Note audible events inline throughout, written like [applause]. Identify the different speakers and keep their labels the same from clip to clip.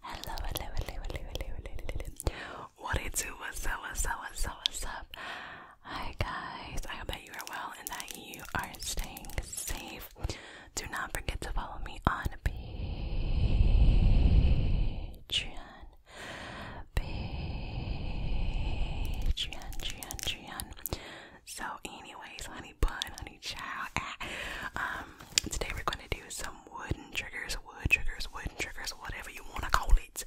Speaker 1: Hello, What it do? What's up? What's up? What's up? Hi guys. I hope that you are well and that you are staying safe. Do not forget to follow me on Patreon. Patreon, Patreon, Patreon. So, anyways, honey bun, honey child. Ah. Um, today we're going to do some some wooden triggers, wood triggers, wooden triggers, whatever you want to call it.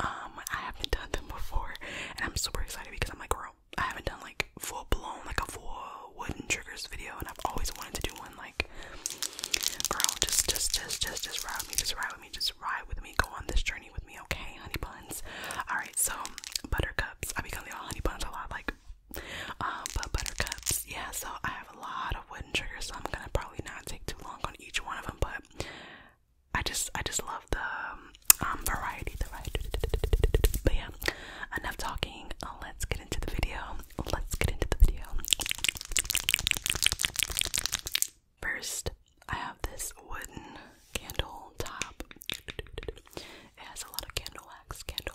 Speaker 1: Um, I haven't done them before, and I'm super excited because I'm like, girl, I haven't done like full blown, like a full wooden triggers video, and I've always wanted to do one. Like, girl, just, just, just, just, just ride with me, just ride with me, just ride with me, go on this journey with me, okay, honey buns. All right, so buttercups. I be calling y'all honey buns a lot, like um, but buttercups, yeah, so I have a lot of wooden triggers, so I'm gonna probably not take too long on each one of them, but I just, I just love the um, um, variety, the variety, but yeah, enough talking, let's get into the video, let's get into the video. First, I have this wooden candle top. It has a lot of candle wax, candle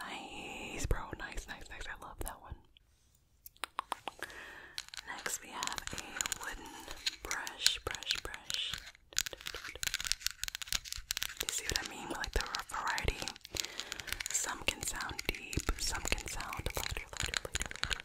Speaker 1: Nice, bro. Nice, nice, nice. I love that one. Next, we have a wooden brush, brush, brush. You see what I mean? Like the variety. Some can sound deep, some can sound louder, louder, louder, louder.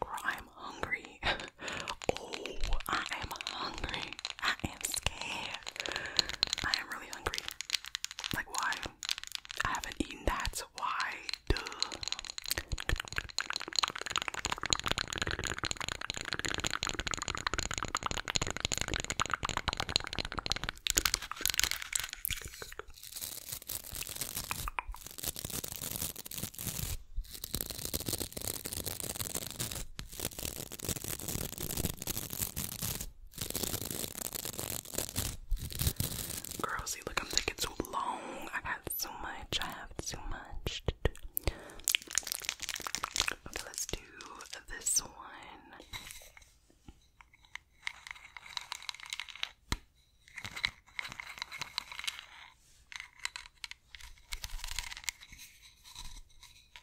Speaker 1: Girl, I am hungry. [laughs] oh, I am hungry. I am scared. I am really hungry. Like, why? I haven't eaten That's why? Duh. Girl, look, I'm taking too long. I got too much. I have too much to Okay, let's do this one.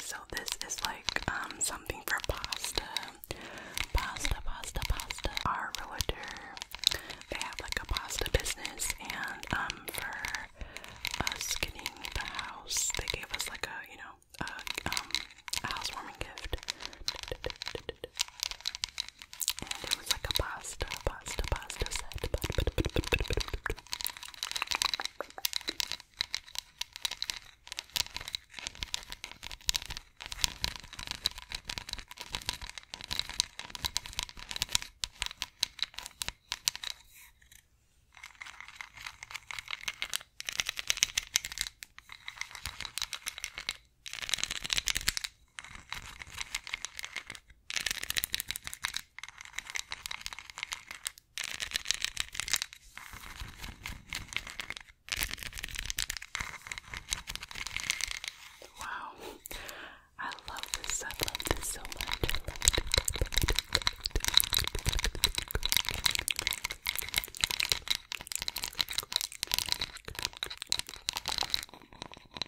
Speaker 1: So this is like um something for pasta. Pasta, pasta, pasta. Our realtor, they have like a pasta business and um for us getting the house, they gave us like a, you know, a um a housewarming gift. And it was like a pasta, pasta, pasta set. Wow, I love this. I love this so much. I love it. I love it. I love it.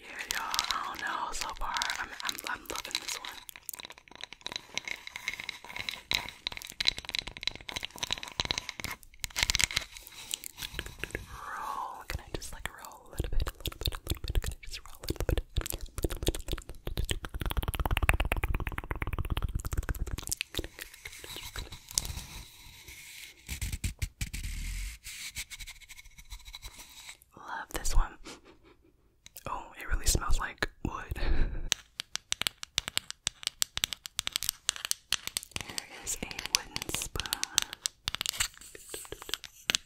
Speaker 1: Yeah, y'all. I don't know. So far, I'm I'm, I'm loving this one. Roll. Can I just like roll a little bit, a little bit, a little bit? Can I just roll a little bit, Love this one. [laughs] Oh, it really smells like wood. [laughs] Here is a wooden spoon.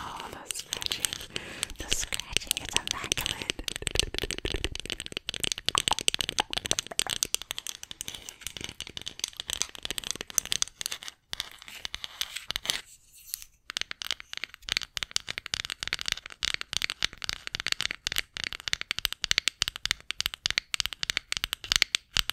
Speaker 1: Oh, the scratching. The scratching is immaculate.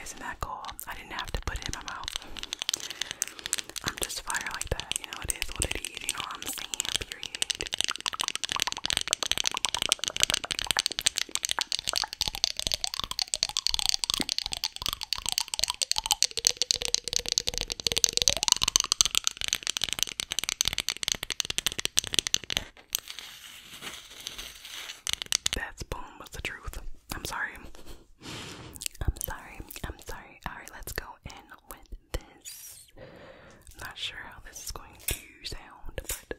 Speaker 1: Isn't that cool? I didn't have to put it in my mouth. I'm just fire like that, you know, it is what it is, you know I'm saying, period. That's boom, what's the truth? I'm sorry. I'm sorry. I'm sorry. Alright, let's go in with this. not sure how this is going to sound, but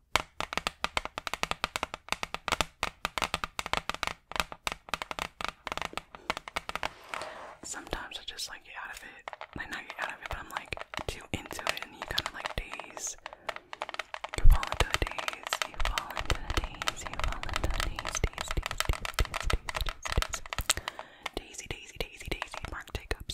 Speaker 1: Sometimes I just like get out of it. Like not get out of it, but I'm like too into it and you kinda like daze. You fall into a daze, you fall into a daze, you fall into a daze, daze, daze, daze, daze, daze, daze, daze. Daisy, daisy, daisy, daisy, mark take ups.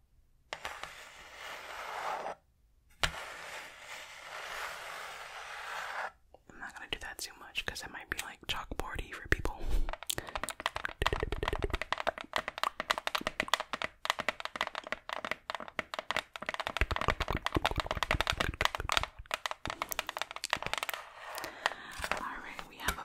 Speaker 1: I'm not gonna do that too much because that might be like chalkboardy for people. Alright, we have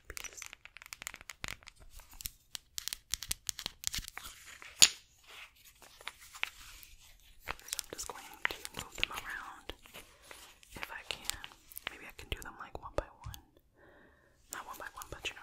Speaker 1: I'm just going to move them around if I can. Maybe I can do them like one by one. Not one by one, but you know.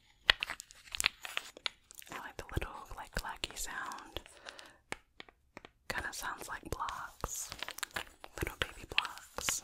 Speaker 1: I like the little like clacky sound. Kind of sounds like blocks, little baby blocks.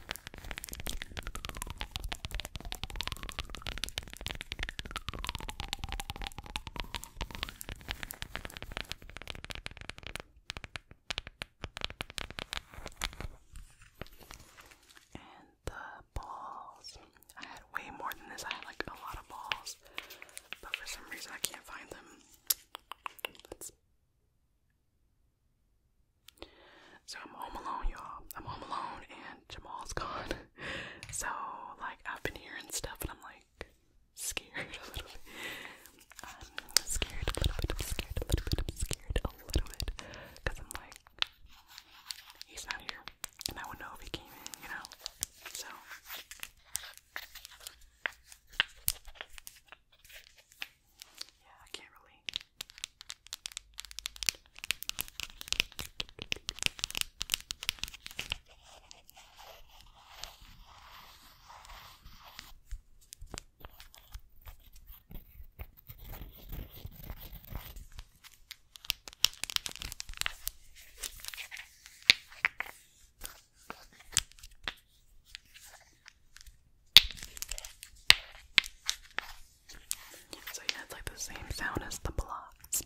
Speaker 1: And the balls. I had way more than this. I had like a lot of balls, but for some reason I can't find them. So I'm home alone, y'all. I'm home alone and Jamal's [laughs] gone. so like I've been hearing stuff and I'm like scared [laughs] a little bit. I'm scared a little bit, I'm scared a little bit, I'm scared a little bit. Cause I'm like he's not here. And I would know if he came in, you know? So yeah, I can't really. So yeah, it's like the same sound as the blocks.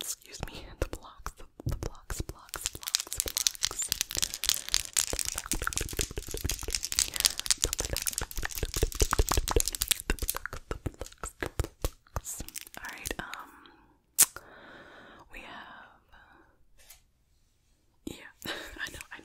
Speaker 1: Excuse me, [laughs] the blocks, the, blocks, blocks, blocks, blocks. Alright, um, we have yeah, [laughs] I know, I know.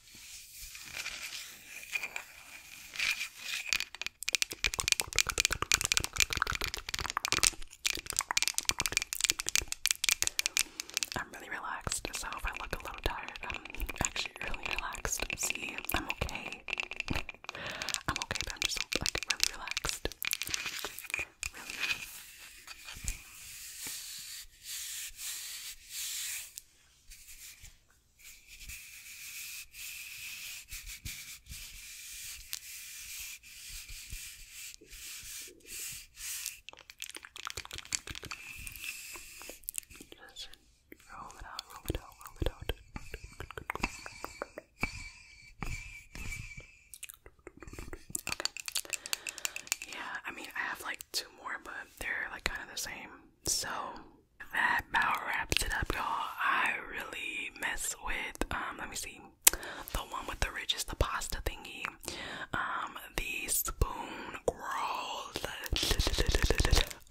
Speaker 1: I'm really relaxed, so if I look a little tired, I'm actually really relaxed. See, I'm okay. I'm okay, but I'm just like really relaxed. Just roll it out, roll it out, roll it out. Okay. Yeah, I mean, I have like two more, but they're like kind of the same. So that about wraps it up, y'all. I really mess with um let me see the one with the ridges, the pasta thingy, um, the spoon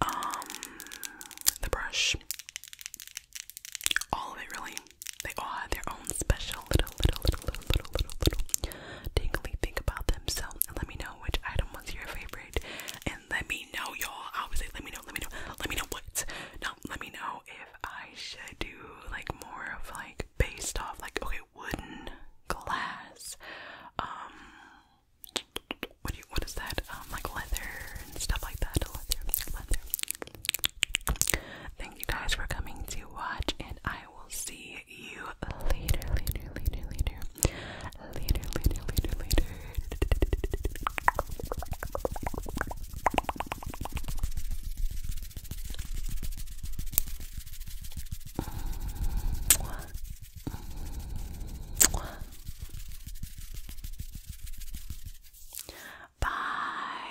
Speaker 1: um, the brush, all of it really. They all had their special little, little, little, little, little, little, little tingly about them. So let me know which item was your favorite, and let me know, y'all. I let me know, let me know, let me know what. No, let me know if I should do like more of like based off like okay, wooden, glass, um, what do you what is that? Um, like leather and stuff like that. Leather, leather. Thank you guys for coming to watch, and I will see you later, later, later, later. Later, later, later, later. Bye.